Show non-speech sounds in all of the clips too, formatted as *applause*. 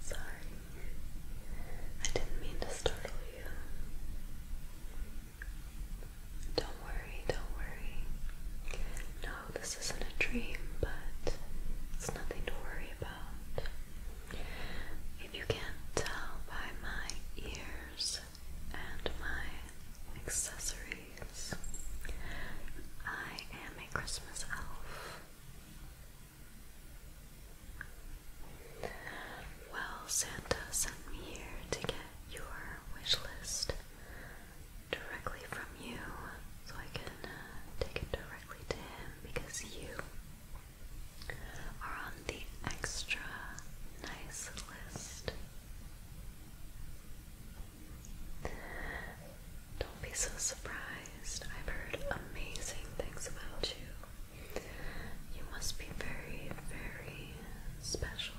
sorry. I didn't mean to startle you. Don't worry, don't worry. No, this isn't a dream, but it's nothing to worry about. If you can tell by my ears and my accessories, I am a Christmas elf. Well, Santa sent me here to get your wish list directly from you so I can uh, take it directly to him because you are on the extra nice list. Don't be so surprised. I've heard amazing things about you. You must be very, very special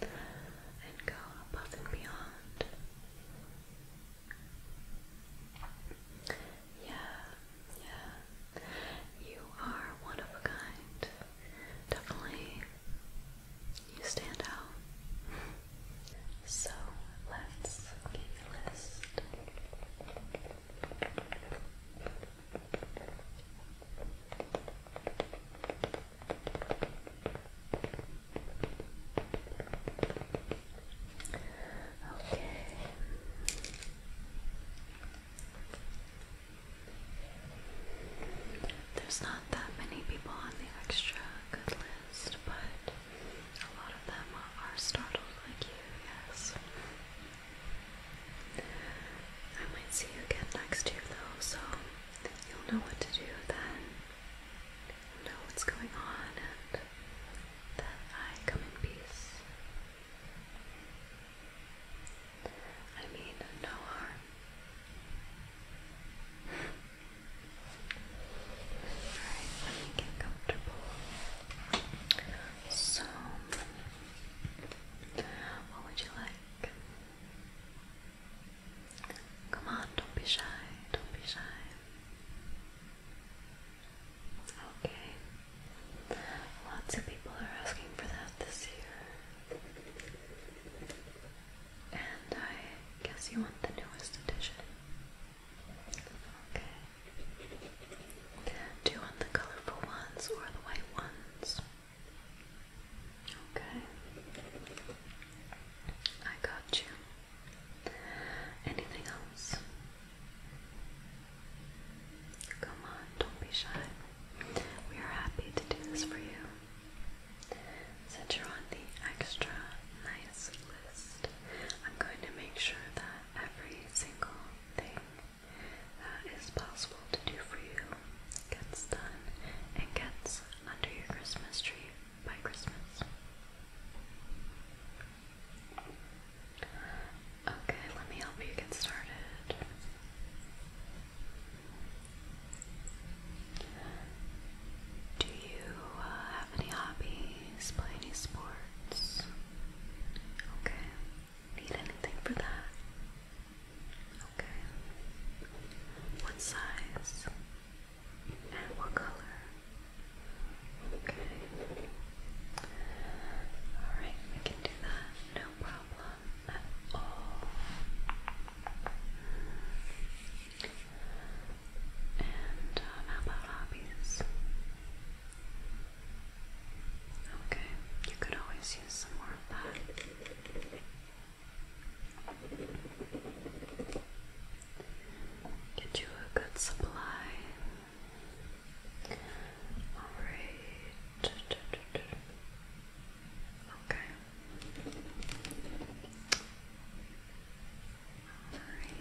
and go above and beyond. Yeah, yeah. You are one of a kind. Definitely, you stand out. So let's get your list. Okay. There's not that many people on the extra good list, but a lot of them are startled like you, yes. I might see you again next year though, so you'll know what to do then. know what's going on and that I come in peace. I mean, no harm. Alright, let me get comfortable. So, what would you like? Come on, don't be shy, don't be shy. Okay. Lots of people are asking for that this year. And I guess you want the newest edition. Okay. Do you want the colorful ones or the white ones? Okay. I got you. Anything else? Come on, don't be shy. We are happy to do this for you. Since you're on the extra nice list, I'm going to make sure that every single thing that is possible to do for you gets done and gets under your Christmas tree by Christmas. Okay, let me help you get started. Do you uh, have any hobbies? Play any sports? Okay. Need anything for that? Okay. What size? And what color? Okay. Alright, we can do that. No problem at all. And uh, how about hobbies? Okay, you could always use some more of that. Get you a good supply. Alright. Okay. Alright.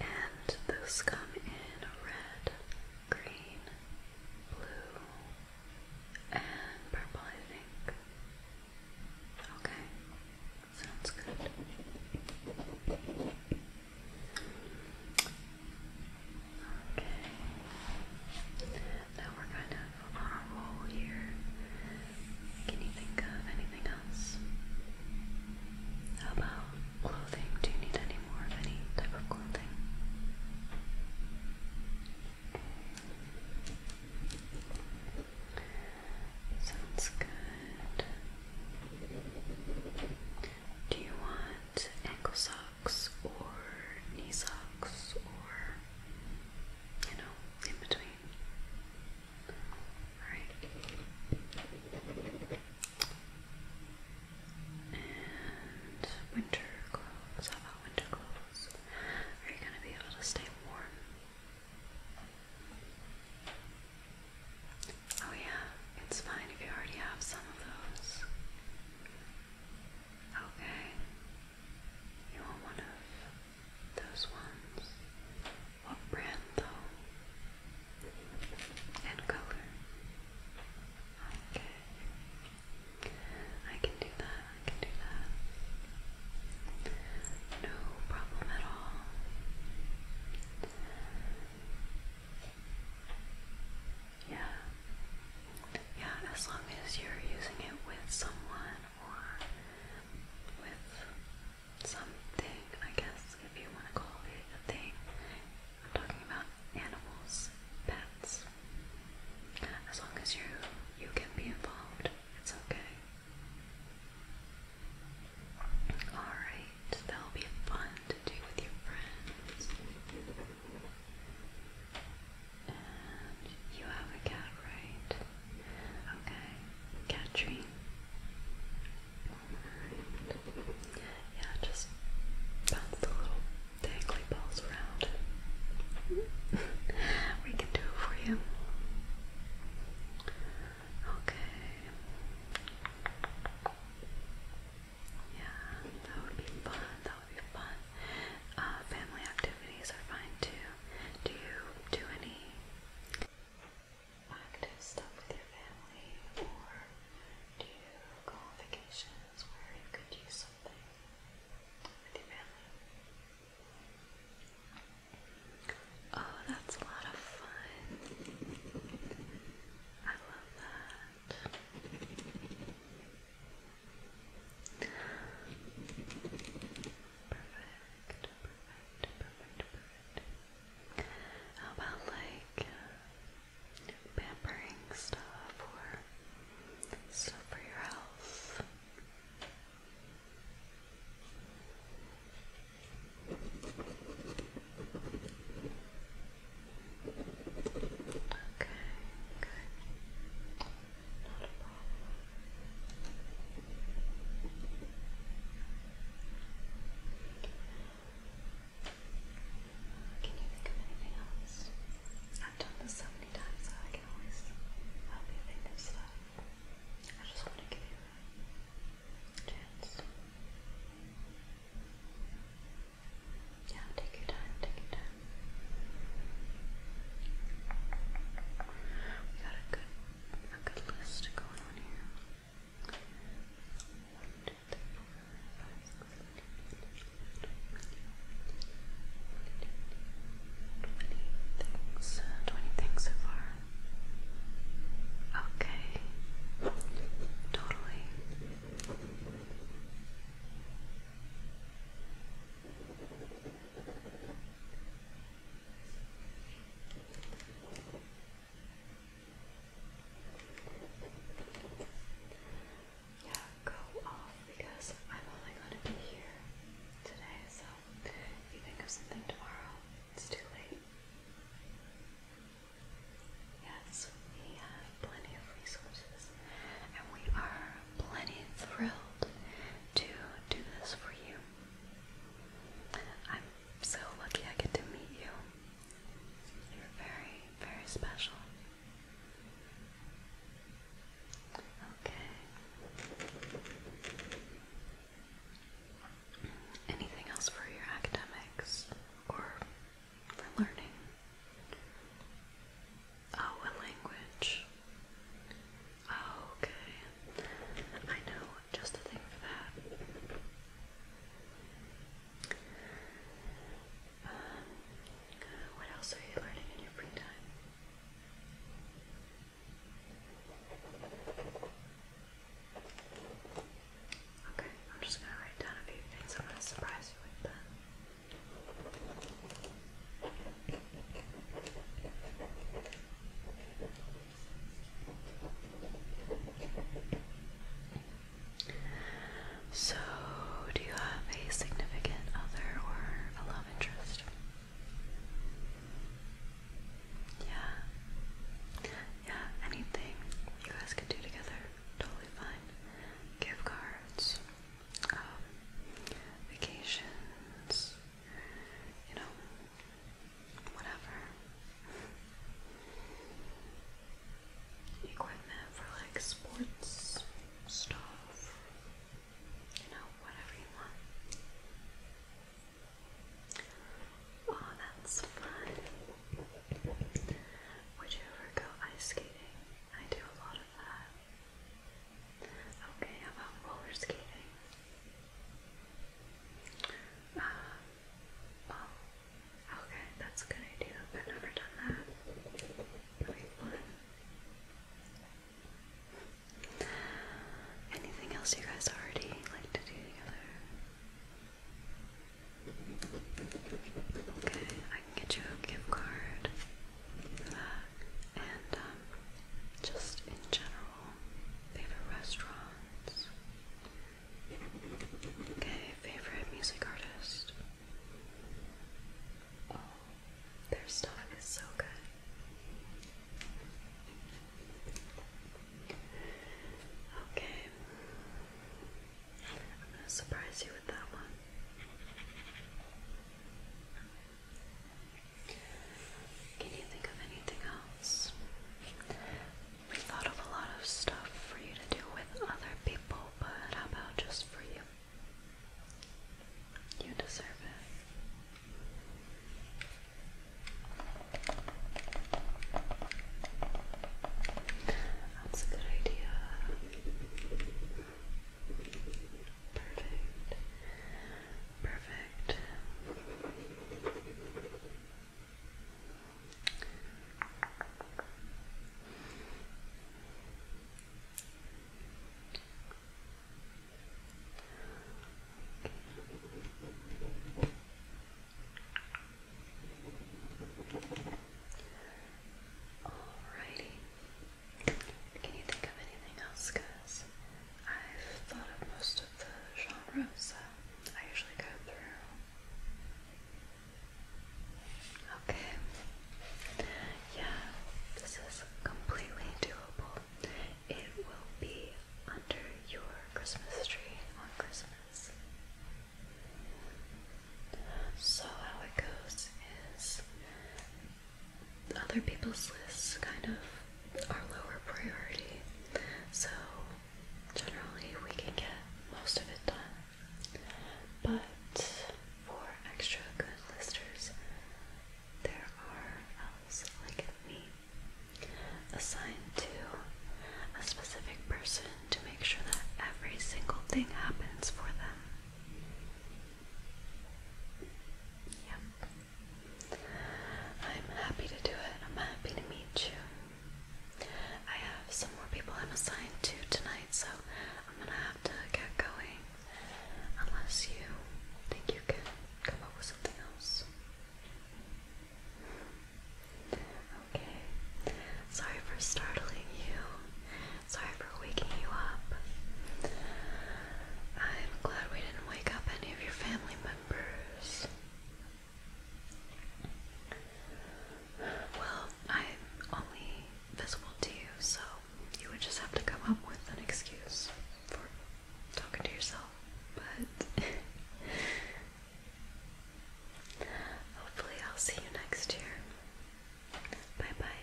And those come in red, green, blue, and purple, I think. Okay, sounds good. Okay, now we're kind of on a roll here. Can you think of anything else? How about clothing? Do you need any more of any type of clothing? Sounds good. Do you want ankle socks or knee socks or you know, in between? Alright. And winter gloves. How about winter gloves? house? Are you going to be able to stay warm? Oh, yeah, it's fine if you already have some of those. Okay. You want one of those ones? What brand, though? And color? Okay. I can do that, I can do that. No problem at all. Yeah. Yeah, as long as you're using it with someone or with something, I guess, if you want to call it a thing. I'm talking about animals, pets. As long as you you can be involved, it's okay. Alright, that'll be fun to do with your friends. And you have a cat, right? Okay. Cat tree. Yeah, just bounce the little dangly balls around. *laughs* we can do it for you. Okay. Yeah, that would be fun. That would be fun. Uh, family activities are fine too. Do you do any active stuff with your family, or do you go on vacation? places where you could use something Oh, that's a lot of fun. I love that. Perfect, perfect, perfect, perfect. How about like pampering stuff or stuff for your health. Okay, can you think of anything else? I've done this so many times, so I can always help you think of stuff. I just want to give you a chance. Yeah, take your time, take your time. We got a good a good list going on here things, uh, 20 things so far. Okay, totally. Yeah, go off because I'm only going to be here today, so if you think of something tomorrow, it's too late. Yes, we have plenty of resources, and we are plenty thrilled to do this for you. I'm so lucky I get to meet you. You're very, very special. Okay. Anything else for your academics or for learning? Oh, a language. Oh, okay. I know just the thing for that. Um, what else are you learning in your free time? Okay, I'm just gonna write down a few things. I'm gonna surprise you with them. So, do you have a significant other or a love interest? Yeah. Yeah, anything you guys could do together. Totally fine. Gift cards, um, vacations, you know, whatever equipment for like sports stuff, you know, whatever you want. Oh, that's fun. Would you ever go ice skating? I do a lot of that. Okay, how about roller skating? Um, Oh, okay, that's a good idea. I've never done that. Really fun. Anything else you guys already like to do together? Okay, I can get you a gift card for that. And um, just in general, favorite restaurants. Okay, favorite music artist. Oh, their stuff is so good. Okay. I'm going to surprise you with that one. Can you think of anything else? We thought of a lot of stuff for you to do with other people, but how about just for you? You deserve it. That's a good idea. Perfect. Perfect. Alrighty. Can you think of anything else? Because I've thought of most of the genres. I usually go through. Okay. Yeah, this is completely doable. It will be under your Christmas tree on Christmas. So, how it goes is other people's lists kind of our lower priority. So generally we can get most of it done. But for extra good listers, there are elves um, like me assigned to a specific person to make sure that every single thing happens for them. Yep. I'm happy to do it. I'm happy to meet you. I have some more people I'm assigned to tonight, so I'm gonna have to get going. Unless you think you can come up with something else. Okay. Sorry for startling you. Sorry for waking you up. I'm glad we didn't wake up any of your family members. Well, I'm only visible to you, so you would just have to come up with an excuse for talking to yourself. But *laughs* hopefully, I'll see you next year. Bye bye.